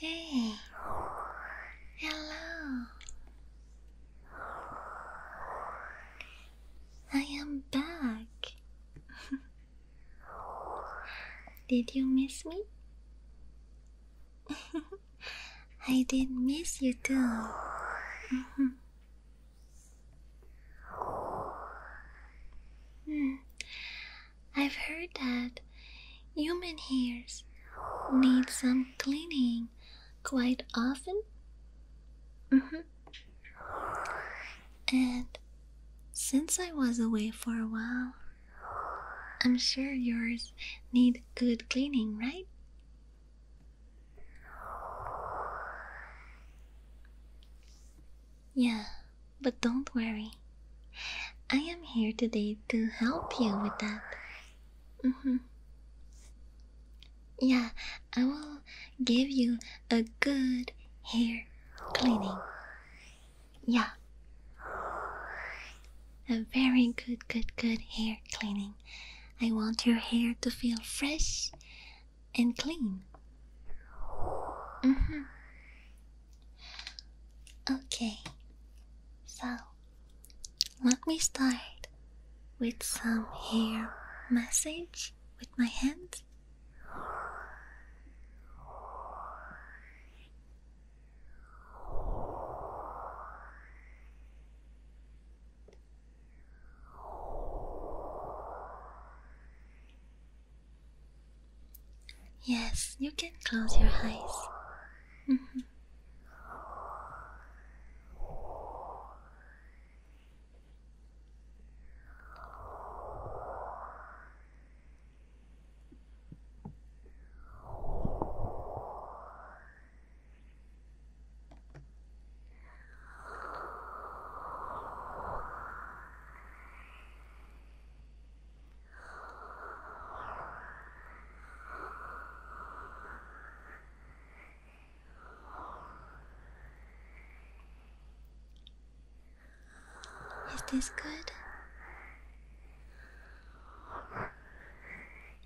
Hey, hello. I am back. did you miss me? I did miss you too. Hmm. I've heard that human hairs need some cleaning quite often. Mm-hmm. And since I was away for a while, I'm sure yours need good cleaning, right? Yeah, but don't worry. I am here today to help you with that. Mm -hmm. Yeah, I will give you a good hair cleaning. Yeah. A very good, good, good hair cleaning. I want your hair to feel fresh and clean. Mm-hmm. Okay, so let me start with some hair massage with my hands. Yes, you can close your eyes. Mm-hmm. Is this good?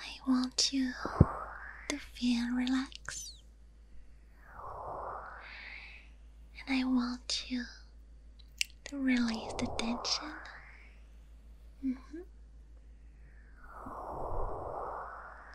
I want you to feel relaxed, and I want you to release the tension. Mm-hmm.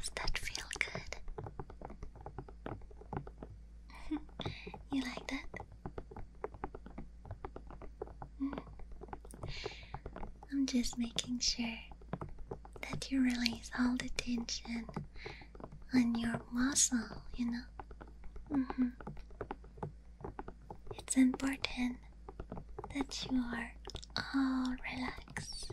Does that feel good? you like that? I'm just making sure that you release all the tension on your muscle, you know? Mm-hmm. It's important that you are all relaxed.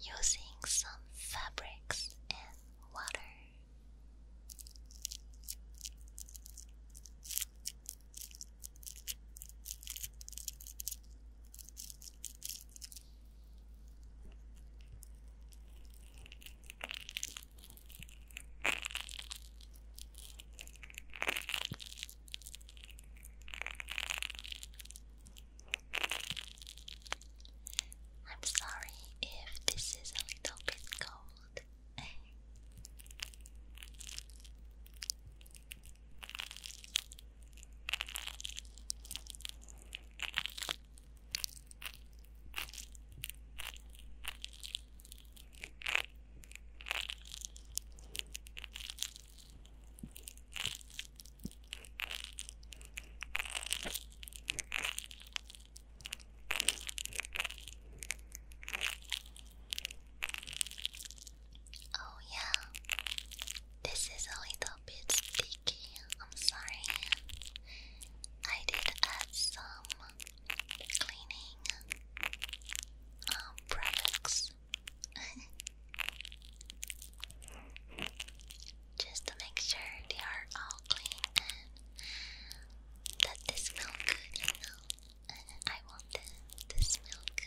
using some fabrics and water. I'm sorry if this is a little bit cold. Oh, yeah, this is a little bit sticky. I'm sorry. I did add some cleaning um, products. just to make sure they are all clean and that they smell good, you know. I want them to smell good.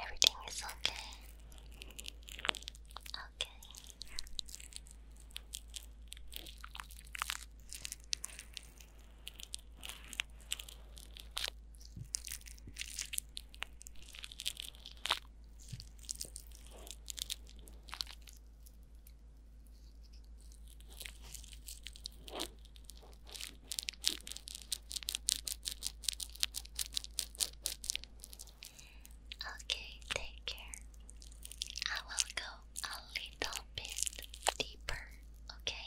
Everything is okay. Okay. Okay, take care. I will go a little bit deeper, okay?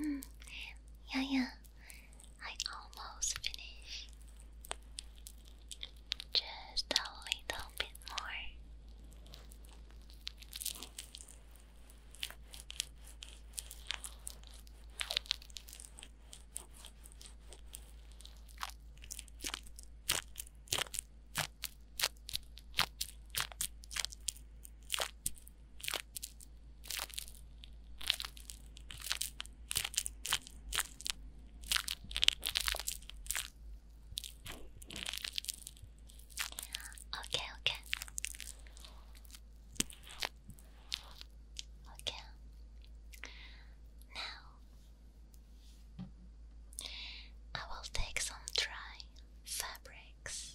Mm. Yeah, yeah. I almost finished. Just a little bit more. Okay, okay. Okay. Now I will take some dry fabrics.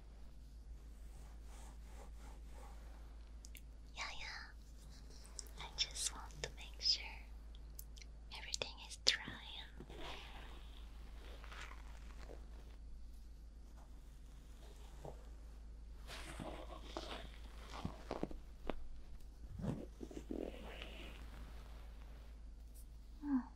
Yeah, I just want to make sure everything is dry. Hmm.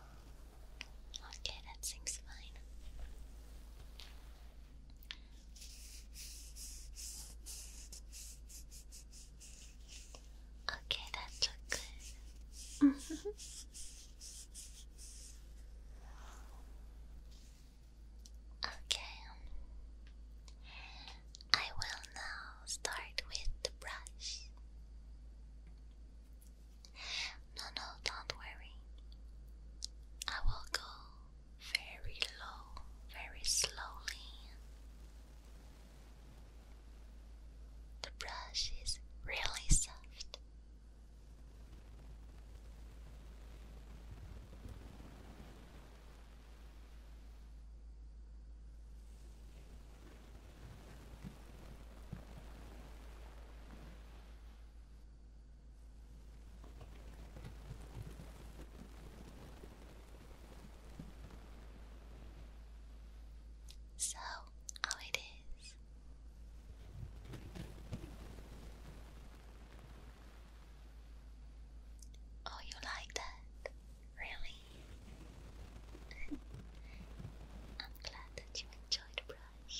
Okay, that seems fine. Okay, that good. okay. I will now start with the brush. No, no, don't worry. I will go very low, very slowly. The brush is really soft. So, how it is. Oh, you like that? Really? I'm glad that you enjoyed the brush.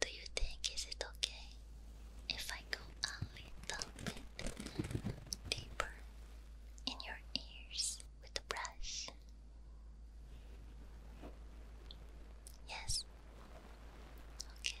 Do you think is it okay if I go a little bit deeper in your ears with the brush? Yes. Okay.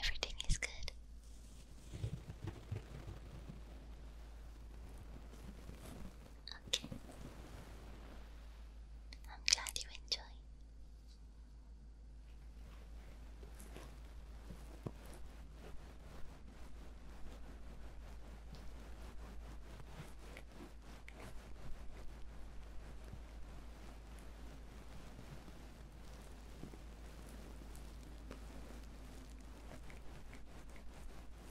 Everything is good. Okay. I'm glad you enjoy. Okay.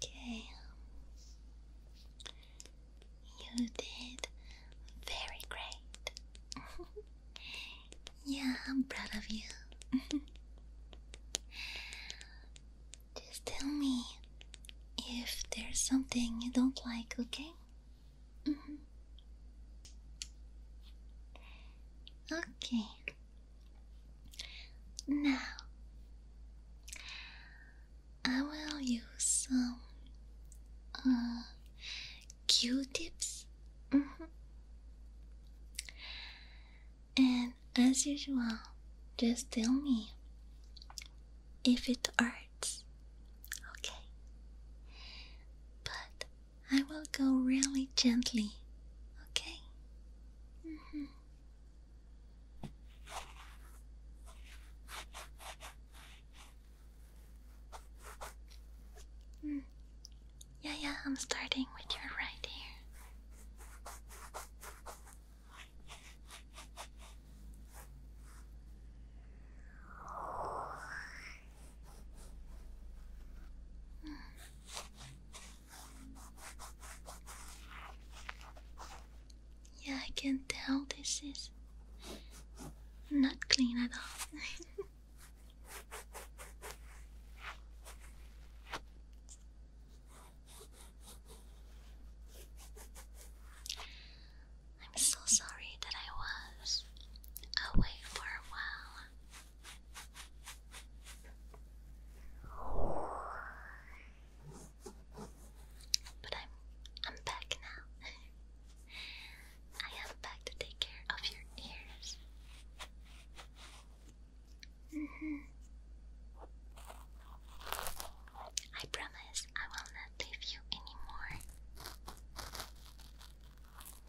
okay. You did very great. yeah, I'm proud of you. Just tell me if there's something you don't like, okay? Mm-hmm. Okay. Now I will use some uh, Q-tips. Mm-hmm. And as usual, just tell me if it hurts. Okay. But I will go really gently, okay? -hmm. Yeah, yeah, I'm starting with your right ear. Yeah, I can tell this is not clean at all. I'm so sorry that I was away for a while. But I'm I'm back now. I am back to take care of your ears. -hmm. I promise I will not leave you anymore.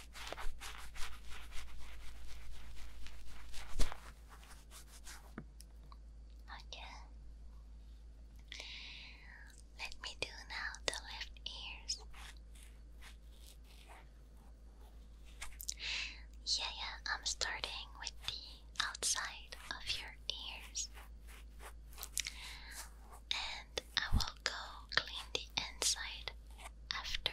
Okay. Let me do now the left ears. Yeah, yeah, I'm starting with the outside of your ears. And I will go clean the inside after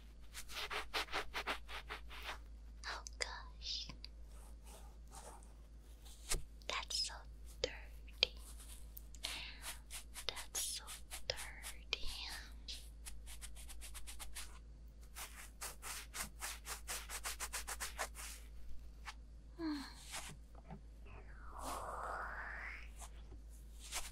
Oh gosh, that's so dirty. That's so dirty. Mm.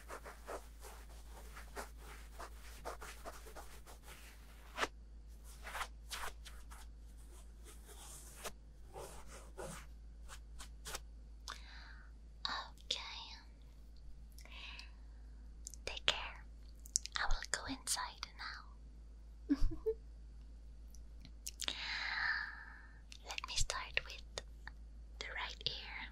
Okay. Take care. I will go inside now. Let me start with the right ear.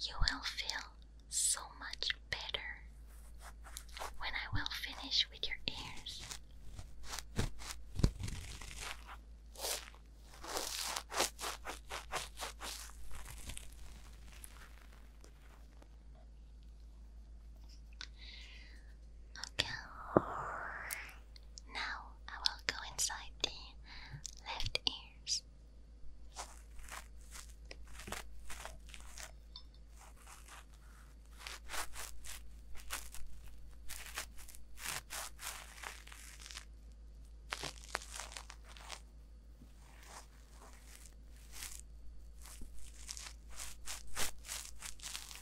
You will feel so much better when I will finish with your ears. Okay. Now I will go inside the left ears.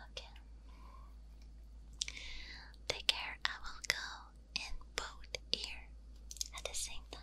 Okay. Take care, I will go in both ear at the same time.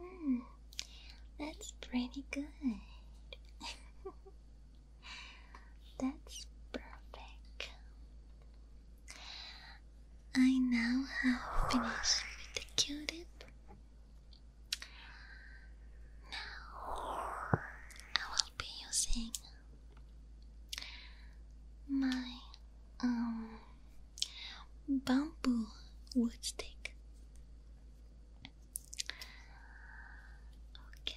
Mm, that's pretty good. that's perfect. I now have finished with the Q-tip. Now I will be using my um bamboo wood stick. Okay.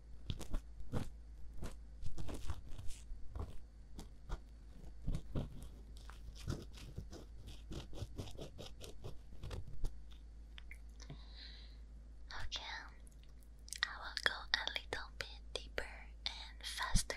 Okay, I will go a little bit deeper and faster.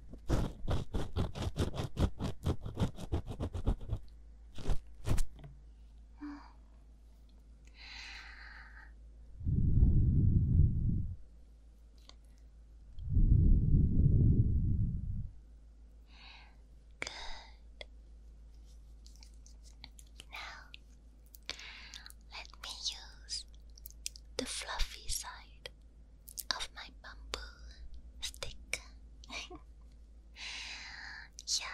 Good. Now, let me use the fluffy side of my bamboo stick. yeah.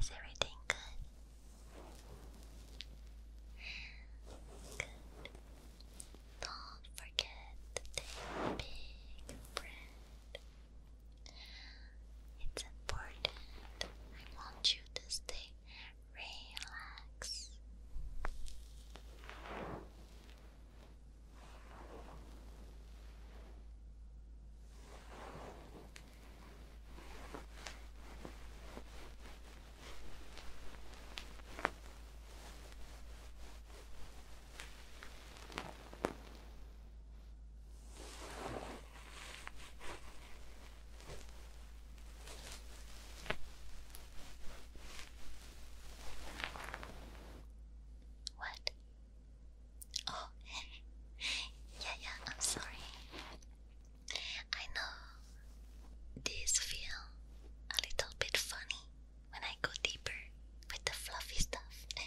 Is everything good? Good. Don't forget to take big breath. It's important. I want you to stay relaxed. What? Oh, yeah, yeah, I'm sorry. I know these feel a little bit funny when I go deeper with the fluffy stuff.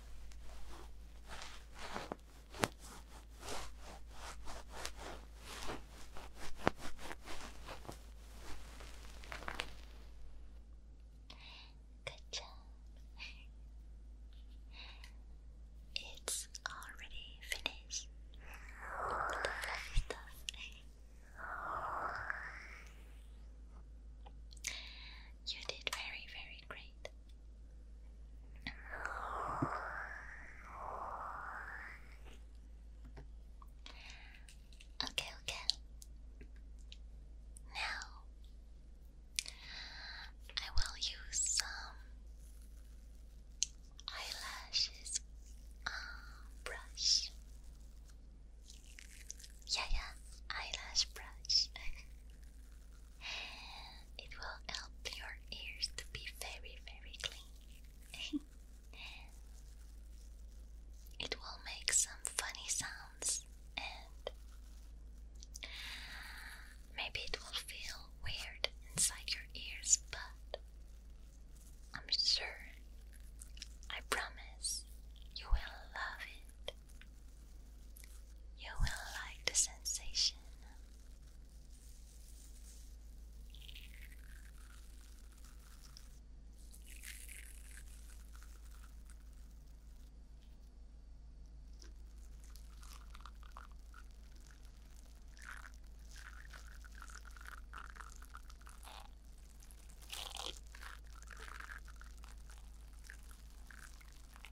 Good job. It's already finished. You did very, very great. Okay, okay. Now I will use some eyelashes um, brush. Yeah, yeah, eyelash brush. It will help your ears to be very, very clean. it will make some funny sounds and maybe it will feel weird inside your ears, but I'm sure, I promise you will love it. You will like the sensation.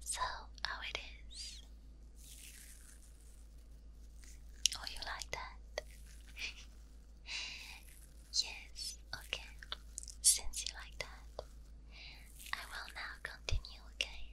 So, how it is? Oh, you like that? yes, okay. Since you like that, I will now continue, okay?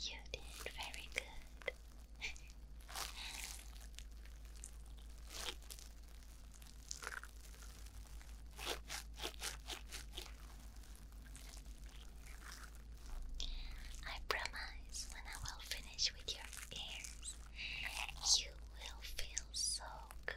You did very good. I promise when I will finish with your ears, you will feel so good.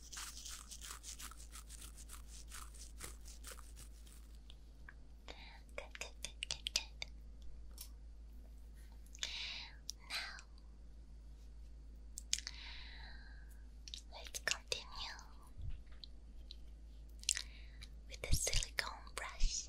Good, good, good, good, good. Now, let's continue with the silicone brush.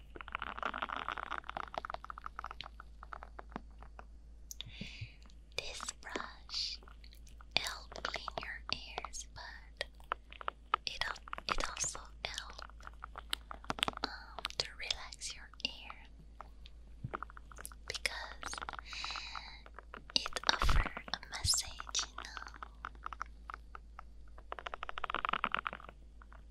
This brush helps clean your ears, but it also helps um, to relax your ear because it offers a message, you know.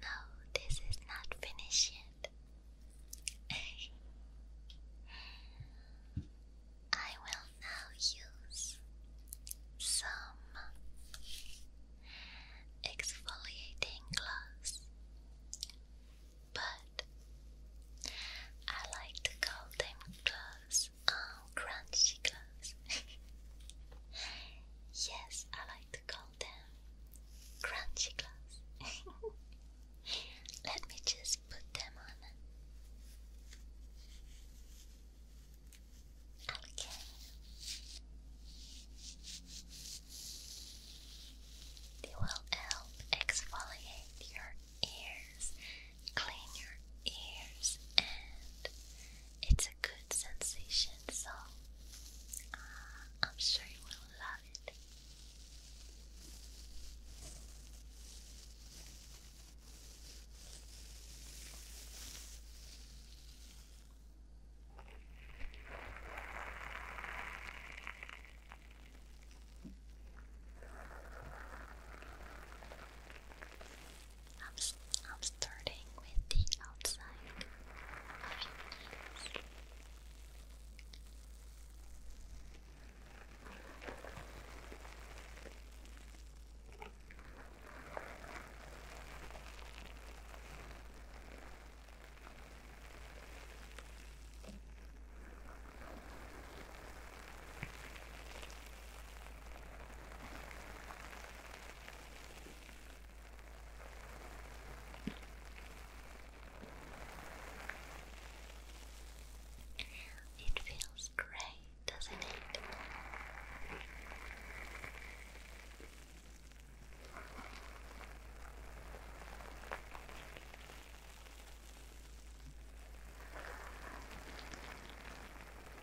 No, this is not finished yet. I will now use some exfoliating gloves, but I like to call them gloves, um, crunchy gloves. yes, I to call them crunchy gloves. Let me just put them on. Okay. They will help exfoliate your ears, clean your ears, and it's a good sensation, so uh, I'm sure you will love it. I'm, I'm starting with the outside of your knees. It feels great, doesn't it?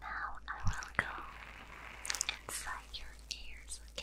Now I will go inside your ears, okay?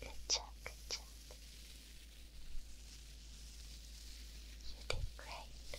Good job, good job. You did great.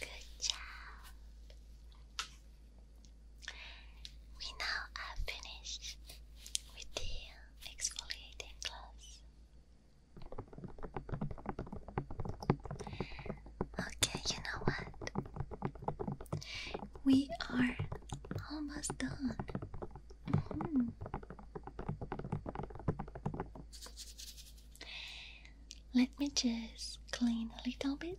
Good job. We now are finished with the exfoliating gloves. Okay, you know what? We are almost done. Hmm. Let me just clean a little bit.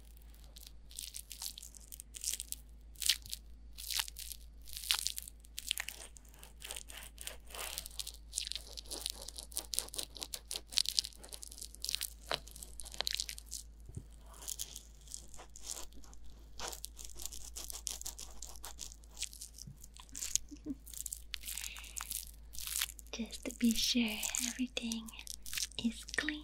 Just to be sure everything is clean.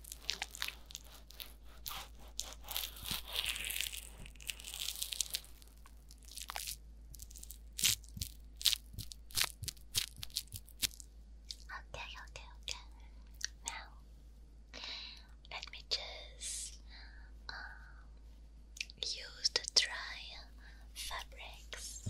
Okay, okay, okay. Now, let me just um, use the dry fabrics.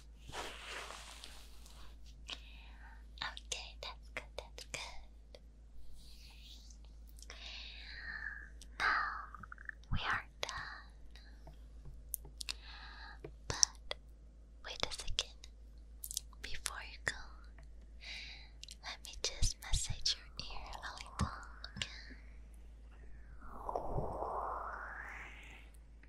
Okay, that's good, that's good. Now we are done. But wait a second. Before you go, let me just massage your ear a little, okay?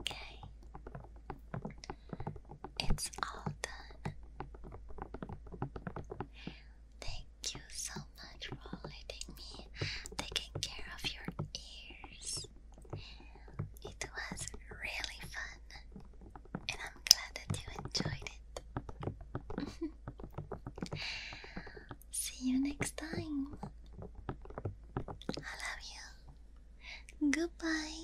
Okay, it's all done. Thank Thank you so much for letting me taking care of your ears. It was really fun, and I'm glad that you enjoyed it. See you next time. I love you. Goodbye.